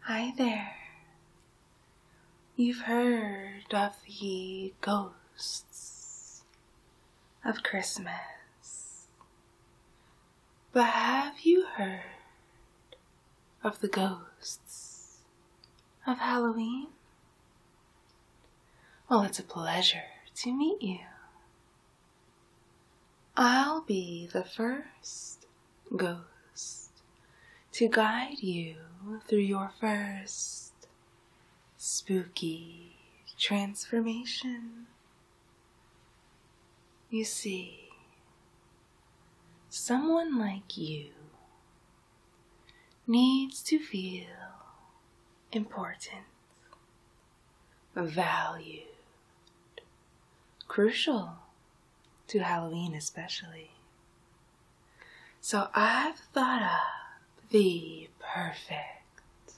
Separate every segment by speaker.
Speaker 1: Hi there. You've heard of the ghosts of Christmas, but have you heard of the ghosts of Halloween? Well, it's a pleasure to meet you. I'll be the first ghost to guide you through your first spooky transformation. You see, someone like you needs to feel important, valued, crucial to Halloween especially. So I've thought up the perfect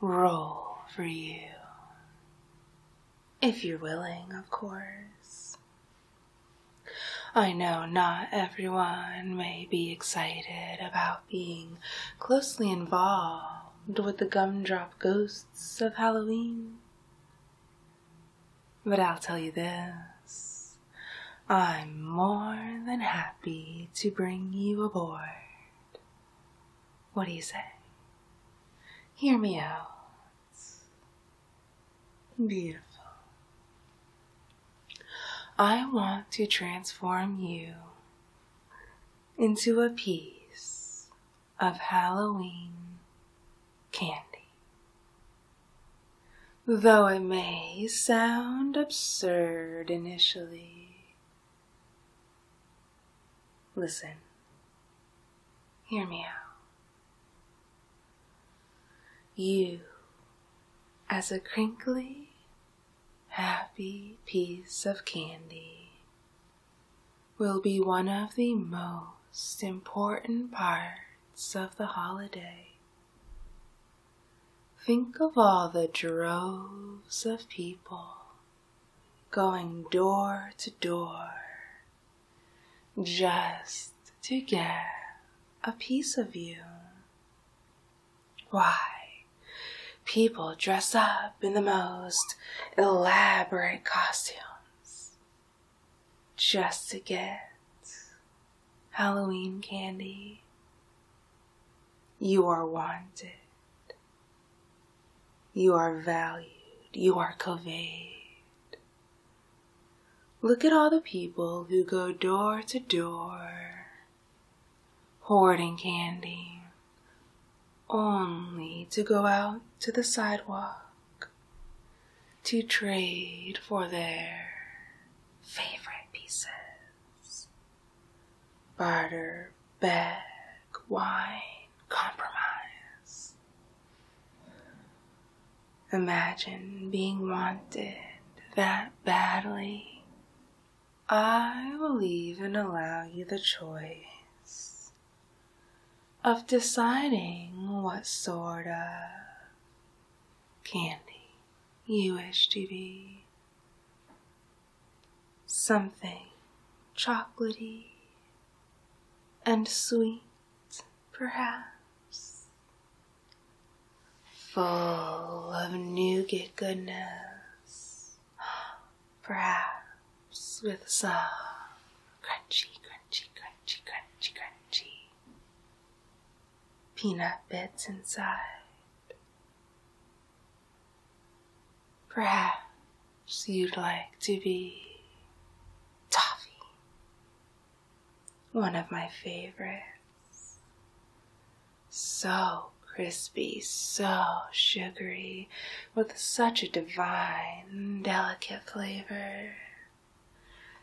Speaker 1: role for you. If you're willing, of course. I know not everyone may be excited about being closely involved with the gumdrop ghosts of Halloween. But I'll tell you this I'm more than happy to bring you aboard. What do you say? Hear me out. Beautiful. I want to transform you into a piece of Halloween candy. Though it may sound absurd initially, listen, hear me out. You, as a crinkly, happy piece of candy, will be one of the most important parts of the holiday. Think of all the droves of people going door to door just to get a piece of you. Why, people dress up in the most elaborate costumes just to get Halloween candy. You are wanted. You are valued. You are coveted. Look at all the people who go door to door hoarding candy, only to go out to the sidewalk to trade for their favorite pieces. Barter, beg, wine, compromise. Imagine being wanted that badly. I will even allow you the choice of deciding what sort of candy you wish to be. Something chocolaty and sweet, perhaps, full of nougat goodness perhaps with some crunchy, crunchy, crunchy, crunchy, crunchy peanut bits inside. Perhaps you'd like to be toffee, one of my favorites. So crispy, so sugary, with such a divine, delicate flavor.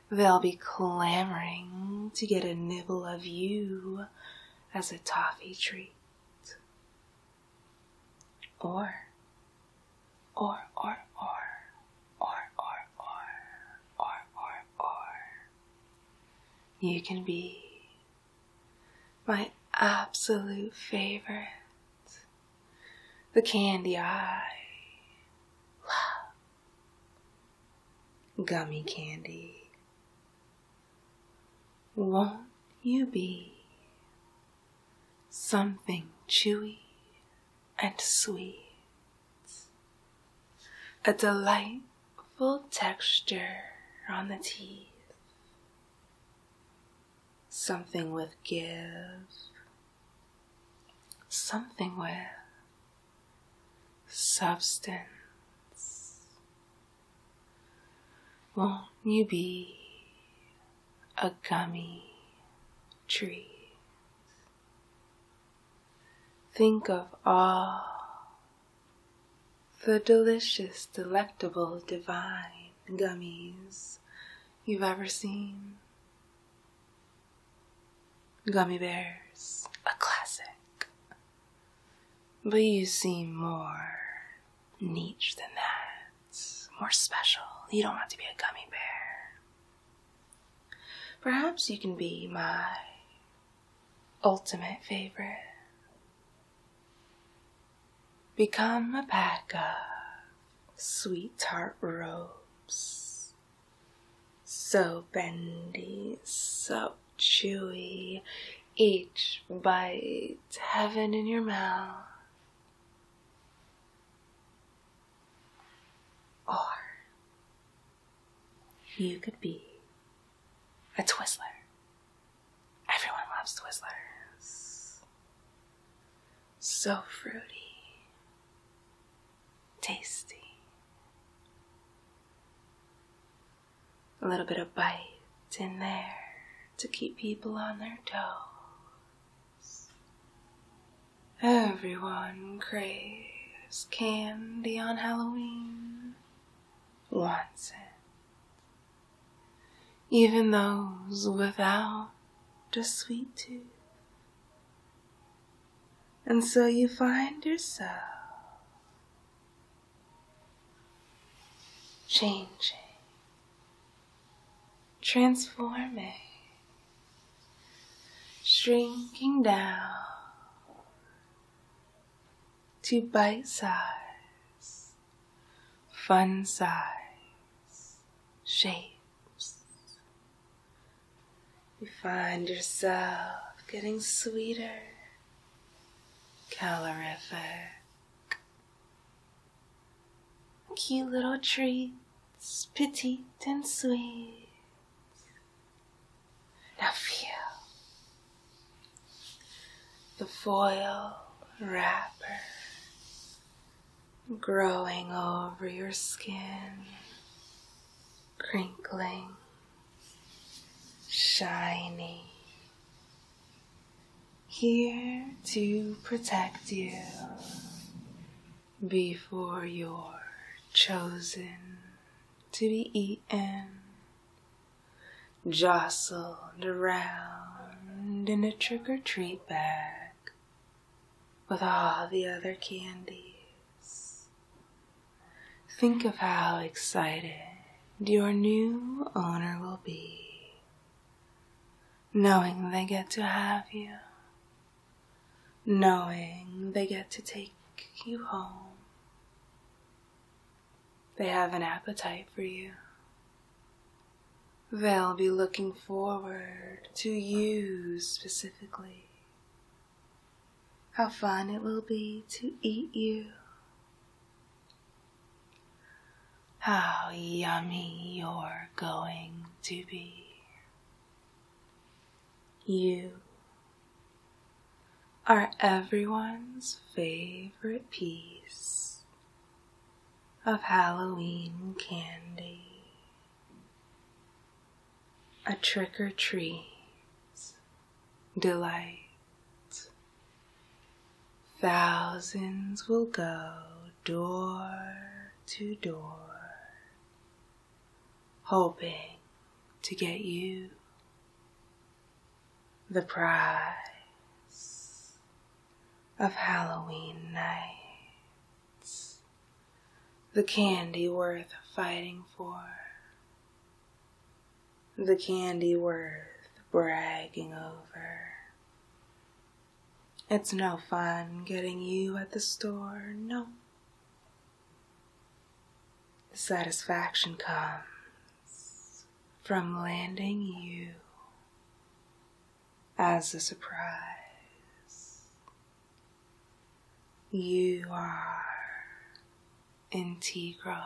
Speaker 1: They'll be clamoring to get a nibble of you as a toffee treat. Or, or, or, or, or, or, or, or, or, or. You can be my absolute favorite the candy I love, gummy candy. Won't you be something chewy and sweet? A delightful texture on the teeth something with give, something with substance. Won't you be a gummy tree? Think of all the delicious, delectable, divine gummies you've ever seen. Gummy Bears, a classic. But you seem more niche than that, more special. You don't want to be a gummy bear. Perhaps you can be my ultimate favorite. Become a pack of sweetheart ropes. So bendy, so chewy, each bite heaven in your mouth. Or you could be a Twizzler. Everyone loves Twizzlers. So fruity, tasty. A little bit of bite in there to keep people on their toes. Everyone craves candy on Halloween, wants it even those without the sweet tooth. And so you find yourself changing, transforming, shrinking down to bite size fun size shapes. You find yourself getting sweeter, calorific. Cute little treats, petite and sweet. Now feel the foil wrapper growing over your skin, crinkling, shiny, here to protect you before you're chosen to be eaten, jostled around found in a trick or treat bag with all the other candies. Think of how excited your new owner will be, knowing they get to have you, knowing they get to take you home. They have an appetite for you. They'll be looking forward to you specifically. How fun it will be to eat you. How yummy you're going to be. You are everyone's favorite piece of Halloween candy. A trick or treats delight. Thousands will go door to door, hoping to get you the prize of Halloween nights, the candy worth fighting for, the candy worth bragging over. It's no fun getting you at the store, no. The satisfaction comes from landing you as a surprise. You are integral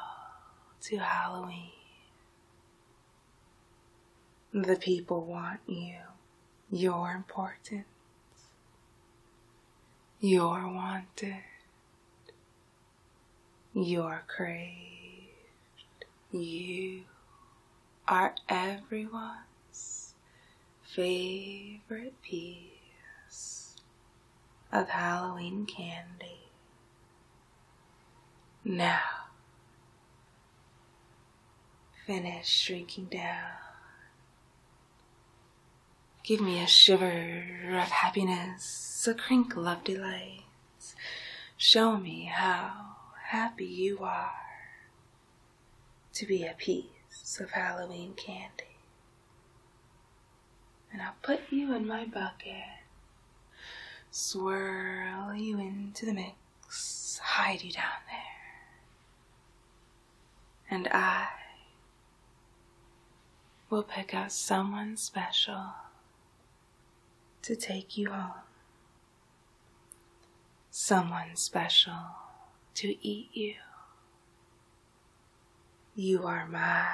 Speaker 1: to Halloween. The people want you. You're important. You're wanted. You're craved. You are everyone's favorite piece of Halloween candy. Now, finish shrinking down. Give me a shiver of happiness, a crinkle of delight. Show me how happy you are to be a piece of Halloween candy. And I'll put you in my bucket, swirl you into the mix, hide you down there. And I will pick out someone special to take you home someone special to eat you. You are my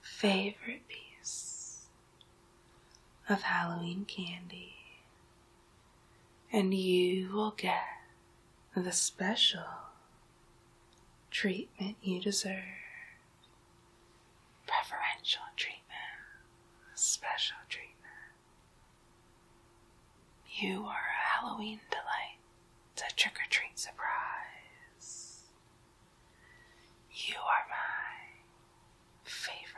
Speaker 1: favorite piece of Halloween candy, and you will get the special treatment you deserve preferential treatment, special treatment. You are a Halloween delight, It's a trick or treat surprise. You are my favorite.